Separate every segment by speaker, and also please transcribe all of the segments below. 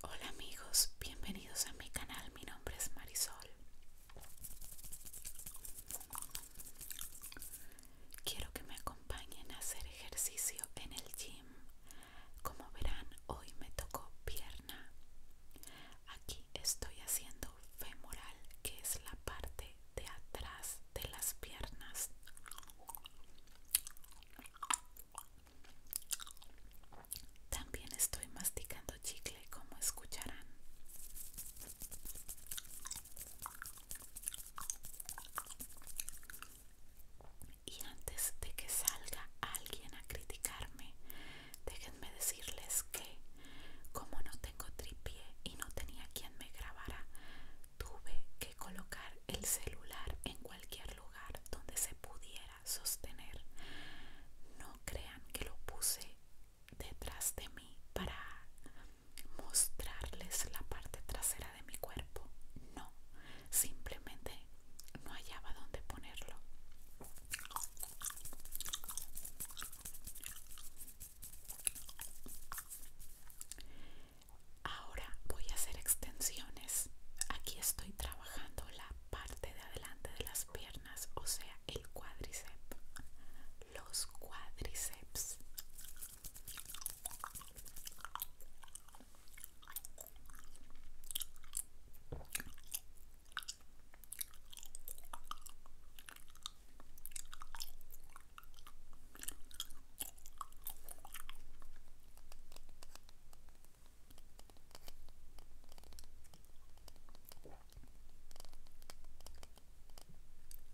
Speaker 1: Hola amigos, bienvenidos a mi canal, mi nombre es Marisol. Quiero que me acompañen a hacer ejercicio en el gym. Como verán, hoy me tocó pierna. Aquí estoy haciendo femoral, que es la parte de atrás de las piernas. También estoy masticando chicle, como escucharán. Y antes de que salga alguien a criticarme, déjenme decirles que como no tengo tripié y no tenía quien me grabara, Tuve que colocar el celular en cualquier lugar donde se pudiera sostener. No crean que lo puse detrás de mí para mostrarles la parte trasera de mi cuerpo. No, simplemente no hallaba dónde ponerlo. Ahora voy a hacer extensiones. Aquí estoy trabajando la parte de adelante de las piernas, o sea, el cuádriceps. Los cuádriceps.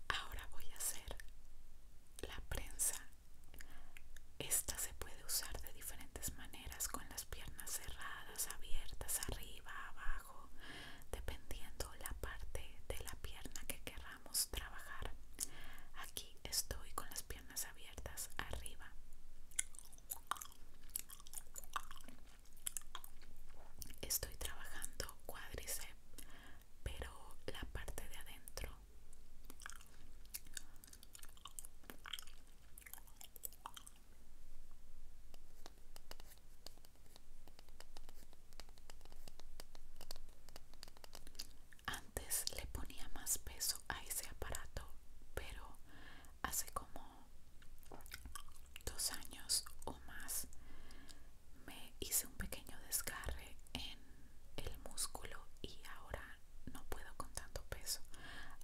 Speaker 1: Ahora voy a hacer la prensa. Esta se puede usar de diferentes maneras con las piernas cerradas, abiertas, arriba, abajo, dependiendo la parte de la pierna que queramos trabajar. Aquí estoy con las piernas abiertas arriba. Estoy trabajando cuádriceps, pero la parte de adentro. Antes le ponía más peso a ese aparato, pero hace como dos años o más me hice un pequeño desgarre en el músculo y ahora no puedo con tanto peso.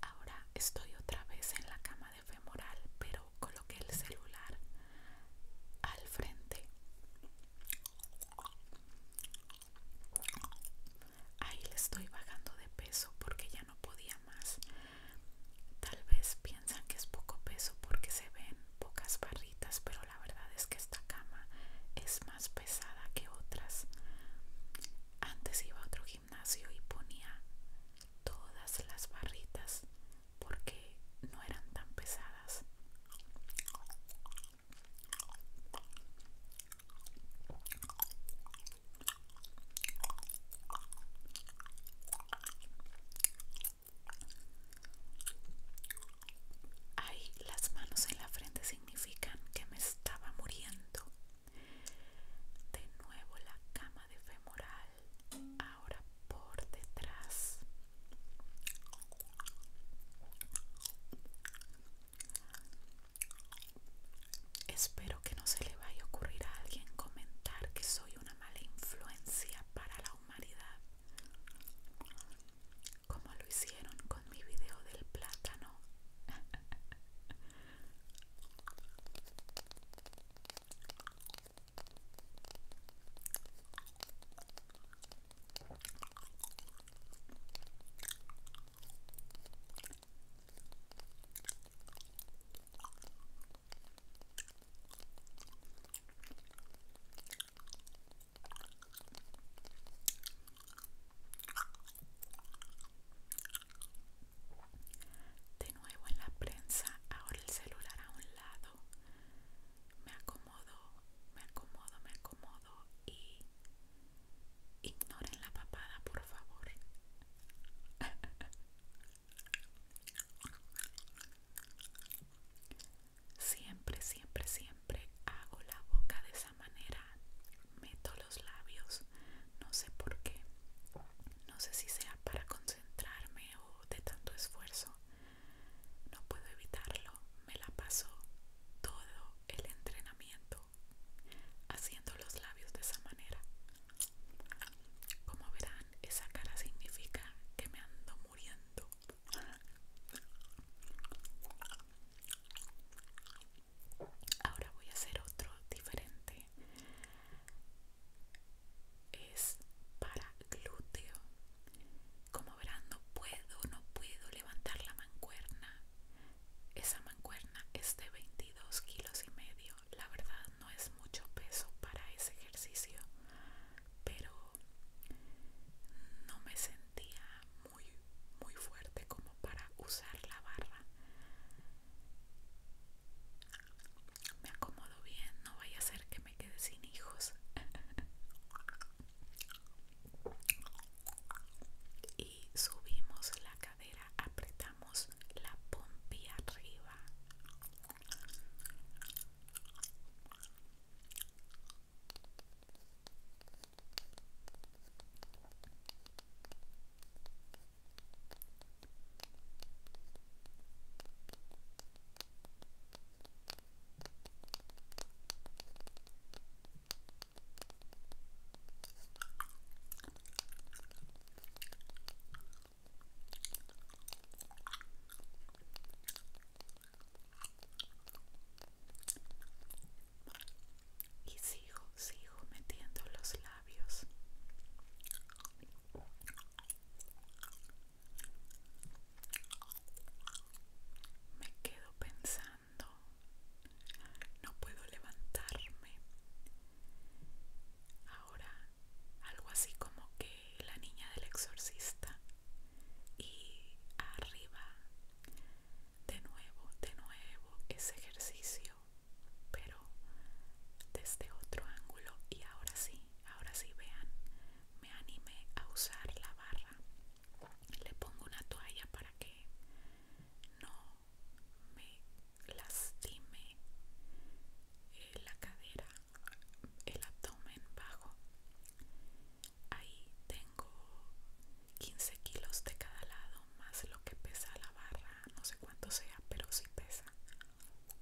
Speaker 1: Ahora estoy otra vez en la cama de femoral, pero coloqué el celular al frente Ahí le estoy bajando de peso porque ya no podía más. Tal vez piensan que es poco peso porque se ven pocas barritas, pero la verdad es que esta cama es más pesada que otras. Antes iba a otro gimnasio y ponía todas las barritas porque no eran tan pesadas. ahí las manos en la frente significan que me estaba muriendo. De nuevo la cama de femoral. Ahora por detrás espero que no se le vaya a ocurrir a alguien comentar que soy una mala influencia para la humanidad como lo hicieron con mi video del plátano De nuevo en la prensa, ahora el celular a un lado. Me acomodo, me acomodo, me acomodo y ignoren la papada, por favor. Siempre, siempre, siempre hago la boca de esa manera. Meto los labios, no sé por qué. No sé si sea para concentrarme o de tanto esfuerzo, no puedo evitarlo, me la paso todo el entrenamiento haciendo los labios de esa manera. Como verán, esa cara significa que me ando muriendo. Ahora voy a hacer otro diferente es para glúteo. Como verán, no puedo, no puedo levantar la mancuerna. Esa mancuerna es de 22 kilos y medio. La verdad no es mucho peso para ese ejercicio, pero no me sentía muy, muy fuerte como para usar la barra me acomodo bien, no vaya a ser que me quede sin hijos. y subimos la cadera, apretamos la pompi arriba. Y sigo, sigo metiendo los labios. Me quedo pensando, no puedo levantarme. Ahora, algo así como que la niña del exorcista. Y arriba, de nuevo, de nuevo, ese ejercicio, pero desde otro ángulo. Y ahora sí, ahora sí vean, me animé a usar la barra. Le pongo una toalla para que no me lastime eh, la cadera, el abdomen bajo. Ahí tengo 15 kilos de cada lado, más lo que pesa la barra, no sé cuánto sea, pero sí pesa.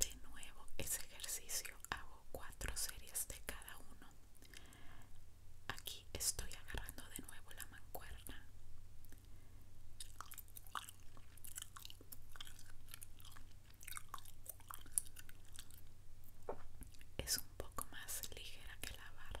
Speaker 1: De nuevo, ese ejercicio hago cuatro series de cada uno. Aquí estoy agarrando de nuevo la mancuerna es un poco más ligera que la barra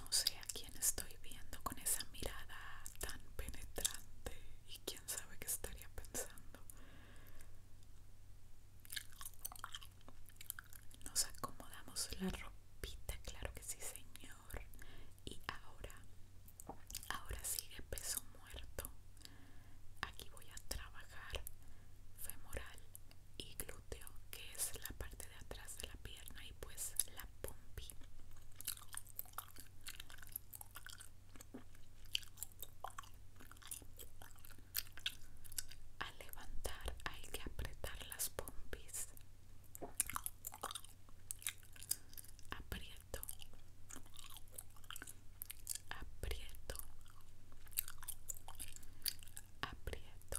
Speaker 1: No sé a quién estoy viendo con esa mirada tan penetrante y quién sabe qué estaría pensando. Nos acomodamos la ropita, claro que sí, señor. Y ahora, ahora sigue peso muerto. Aquí voy a trabajar femoral y glúteo, que es la parte de atrás de la pierna y pues la pompi. Al levantar hay que apretar las pompis. Aprieto. Aprieto. Aprieto.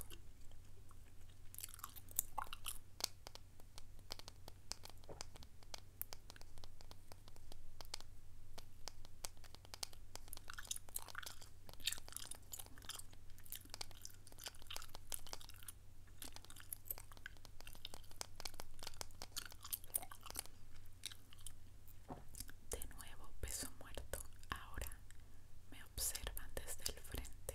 Speaker 1: De nuevo peso muerto, ahora me observan desde el frente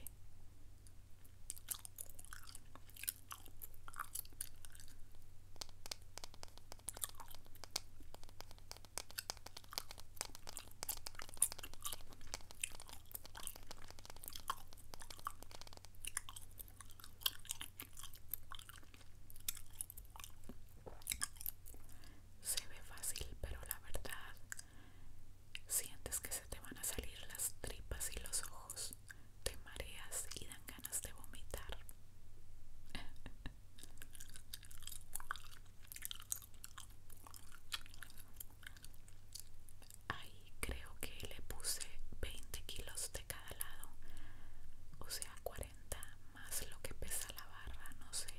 Speaker 1: se ve fácil, pero la verdad sientes que se te van a salir las tripas y los ojos te mareas y dan ganas de vomitar. Ahí creo que le puse 20 kilos de cada lado, o sea 40 más lo que pesa la barra, no sé.